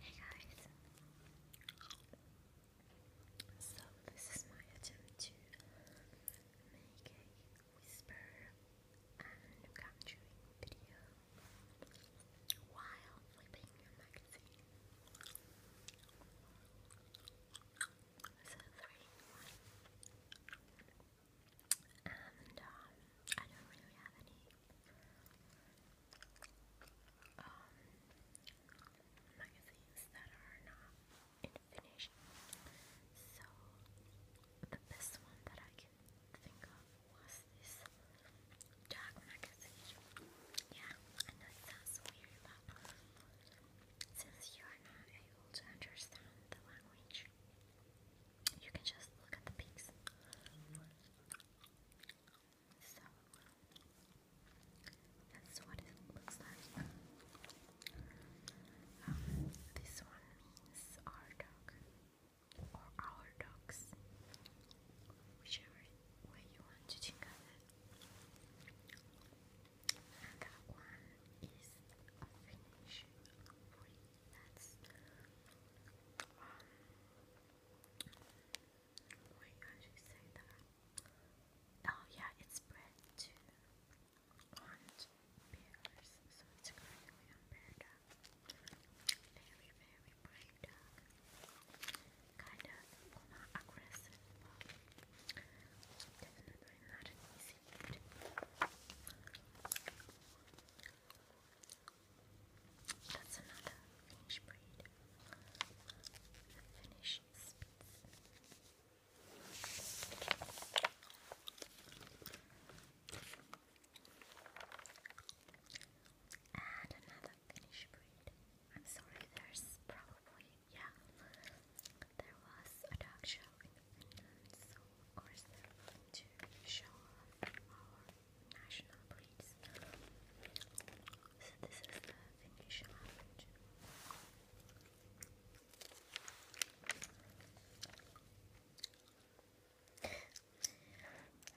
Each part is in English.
Hey guys! So this is my attempt to make a whisper and capturing video while flipping a magazine. So three, one. And um, I don't really have any um, magazines that are not in Finnish. So the best one that I can think of was this dog magazine. Yeah, I know it sounds weird, but since you are not able to understand the language, you can just look at the pics. So that's what it looks like. Um, this one means our dog or our dogs, whichever way you want to think of it. And that one is a That's um, Wait, you Oh yeah, it's bread too. And pears, so it's currently unpaired up. Very, very bright dog. Kind of, not aggressive, definitely not an easy food. That's another Finnish breed. The Finnish another Finnish breed. I'm sorry, there's probably, yeah, there was a dog show in Finland, so of course they're show our national breeds. So this is the Finnish average.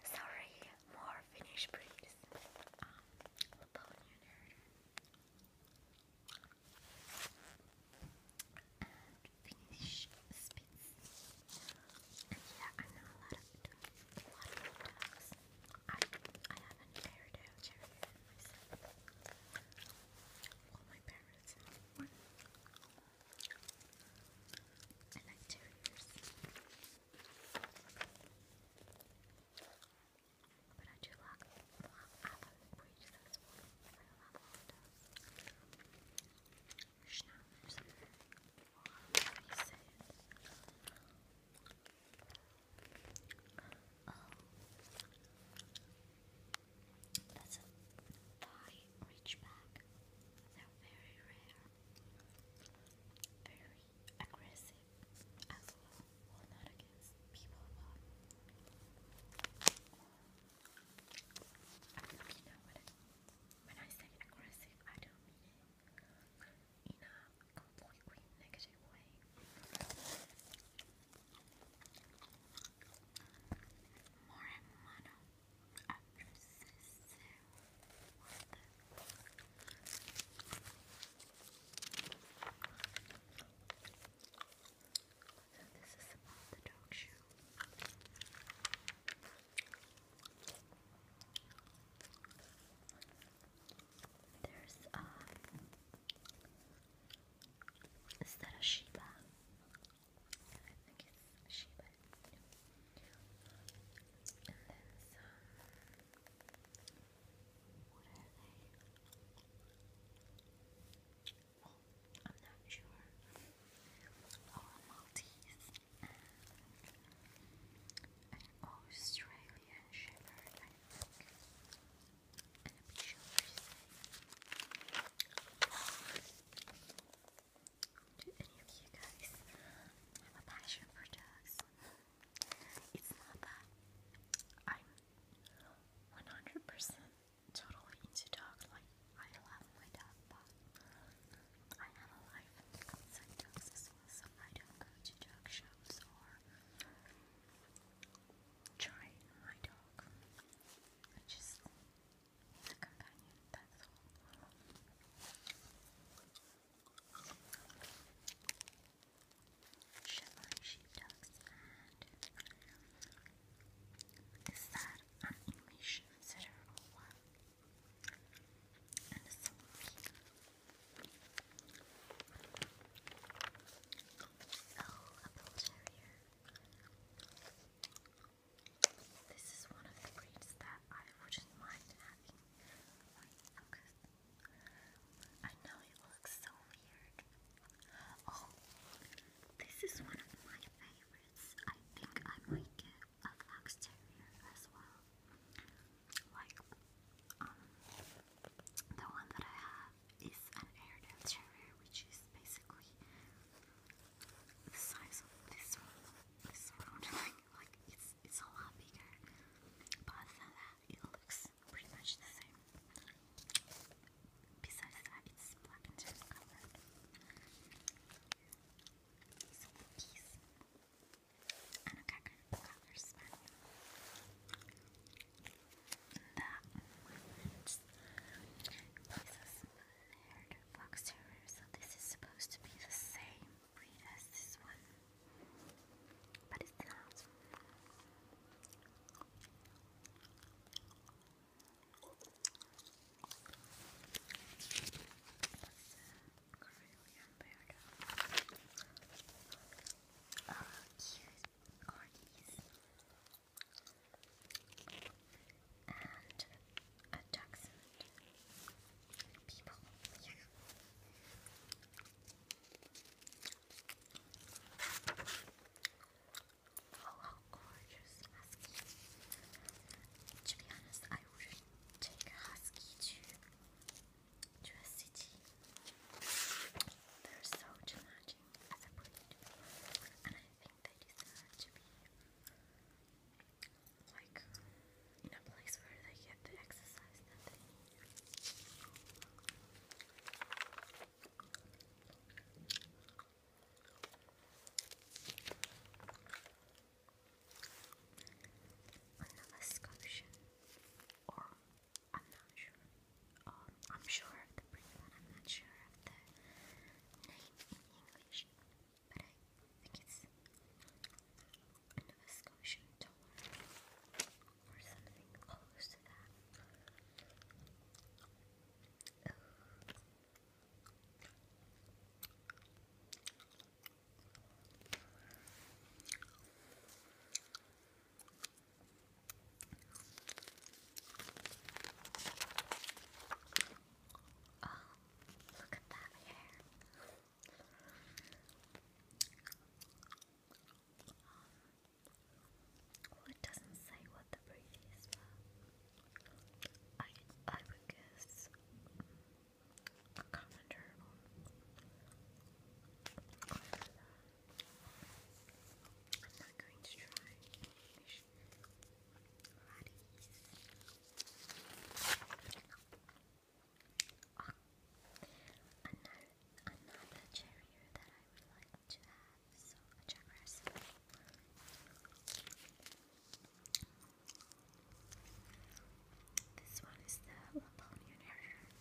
Sorry, more Finnish breeds. Um, Laponian Finnish Spitz. And yeah, I know a lot of dogs. I I have an Airedale Terrier myself. Well, my parents have one. I like terriers. But I do like well, breeds as well schnauzers Oh, that's a thigh reachback. They're very rare, very aggressive as well. Well, not against people, but I'm looking at what when I say aggressive, I don't mean it in a completely negative way. More and mono so this is the dog show. There's um is that a Shiba? I think it's Shiba. And then what are they? I'm not sure. Oh, Maltese an Australian Shepherd, and i sure Do any of you guys have a passion for dogs? It's not that I'm 100% totally into dog life. I love my dog, but I have a life so I don't go to dog shows or try my dog. I just a companion, that's all. Shetland sheepdogs and is that an English setter or and a This is one of the breeds that I wouldn't mind having. I know it looks so weird. Oh, this is one of my favorites. I think I might get a fox terrier as well. Like, um, the one that I have is an Airedale terrier, which is basically the size of this one. This round, like, it's it's a lot bigger. But other than that, it looks pretty much the same. Besides that, it's black and tan these Wheaties. I've got kind of color That This is supposed to be the same breed as this one. But it's not. Corellian bear. Oh, cute corgis. And a dachshund. People, yeah. Oh, how gorgeous husky. To be honest, I wouldn't take a husky to to a city. They're so challenging as a breed, and I think they deserve to be like in a place where they get the exercise that they need on the Nova Scotian, or I'm not sure, um, I'm sure of the British I'm not sure of the name in English, but I think it's Nova Scotian or something close to that. Oh, Oh, look at that hair. Um, well, it doesn't say what the breed is, but I I would guess a common turtle. I'm not going to try fish. Ah, another, another cherry that I would like to have, so a this one is the Laponian herder,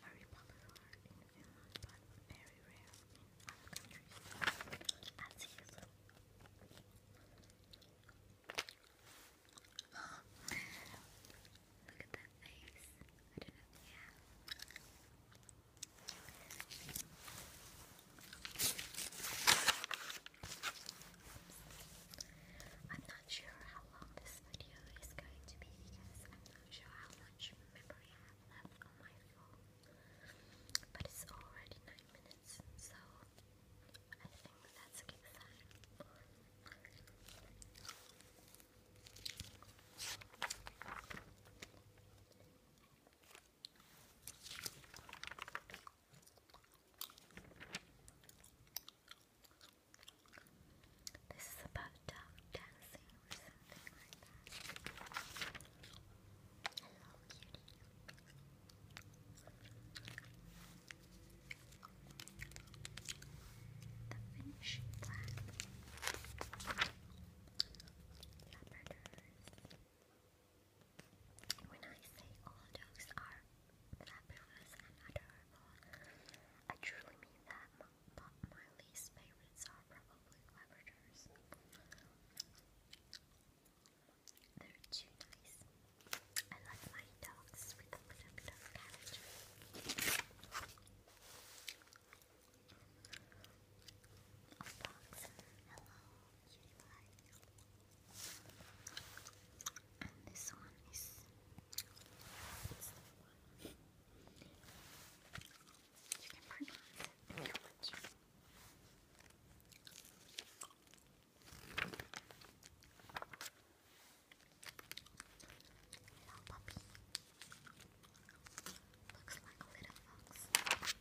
very popular in Finland but very rare in other countries. you oh, look at that face. I don't know. Yeah. I'm not sure how long this video is going to be because I'm not sure how much memory I have on my phone. But it's already 9 minutes, so I think that's a good sign. This is about dancing or something like that. The finishing black leoparders. Leoparders. When I say all dogs are fabulous and adorable, I truly mean that, but my least favorites are probably Labradors. They're too nice. I love my dogs with a little bit character. A fox. Hello, cutie pie. And this one is. You can pronounce it you want to. Hello, Looks like little fox.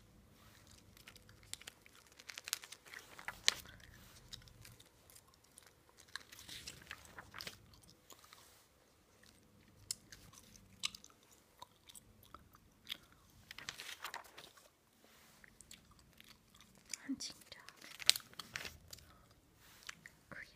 Hunting dog. Clearly.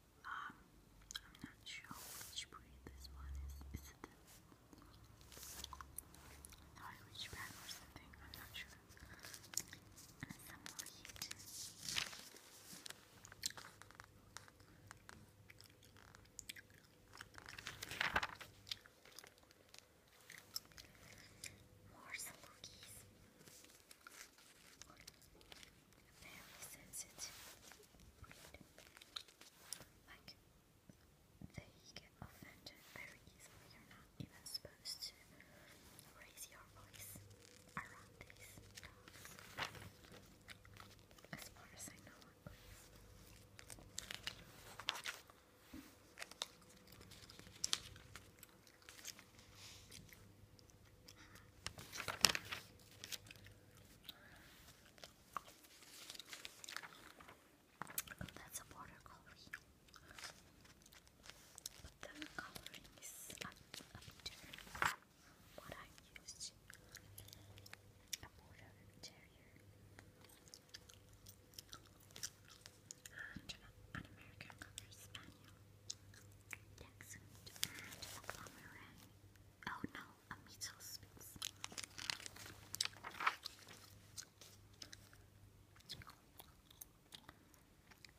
Um, I'm not sure which breed this one is. Is it the Irish bag or something? I'm not sure. more heat. Very sensitive breed. Like, they get offended very easily. You're not even supposed to raise your voice around these dogs. As far as I know, that's a border But the coloring is a, a what I used. A border terrier and an American Spaniel, Dachshund, and a Pomeranian. Oh no, out a meat space.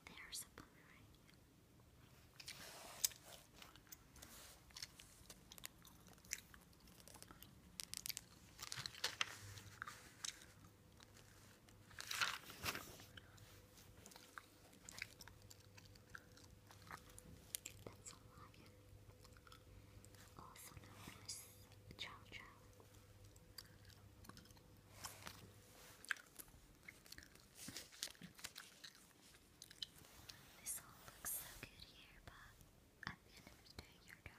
There's a boomerang. There's that's a lion. Also known as Chow Chow. This all looks so good here, but at the end of your dog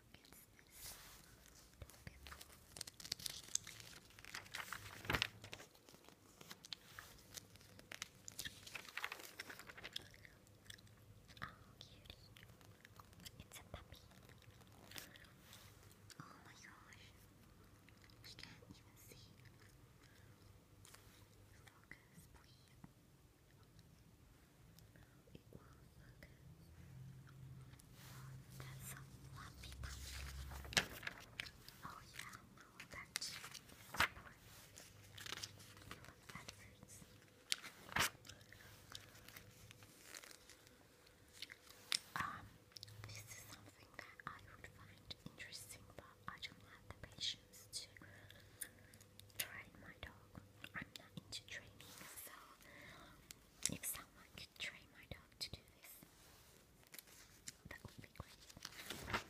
cutie. It's a puppy. Oh my gosh. I can't even see. Focus, please. It will focus. that's a fluffy puppy. Oh yeah, will touch this is something that I would find interesting, but I don't have the patience to train my dog. I'm not into training, so if someone could train my dog to do this, that would be great.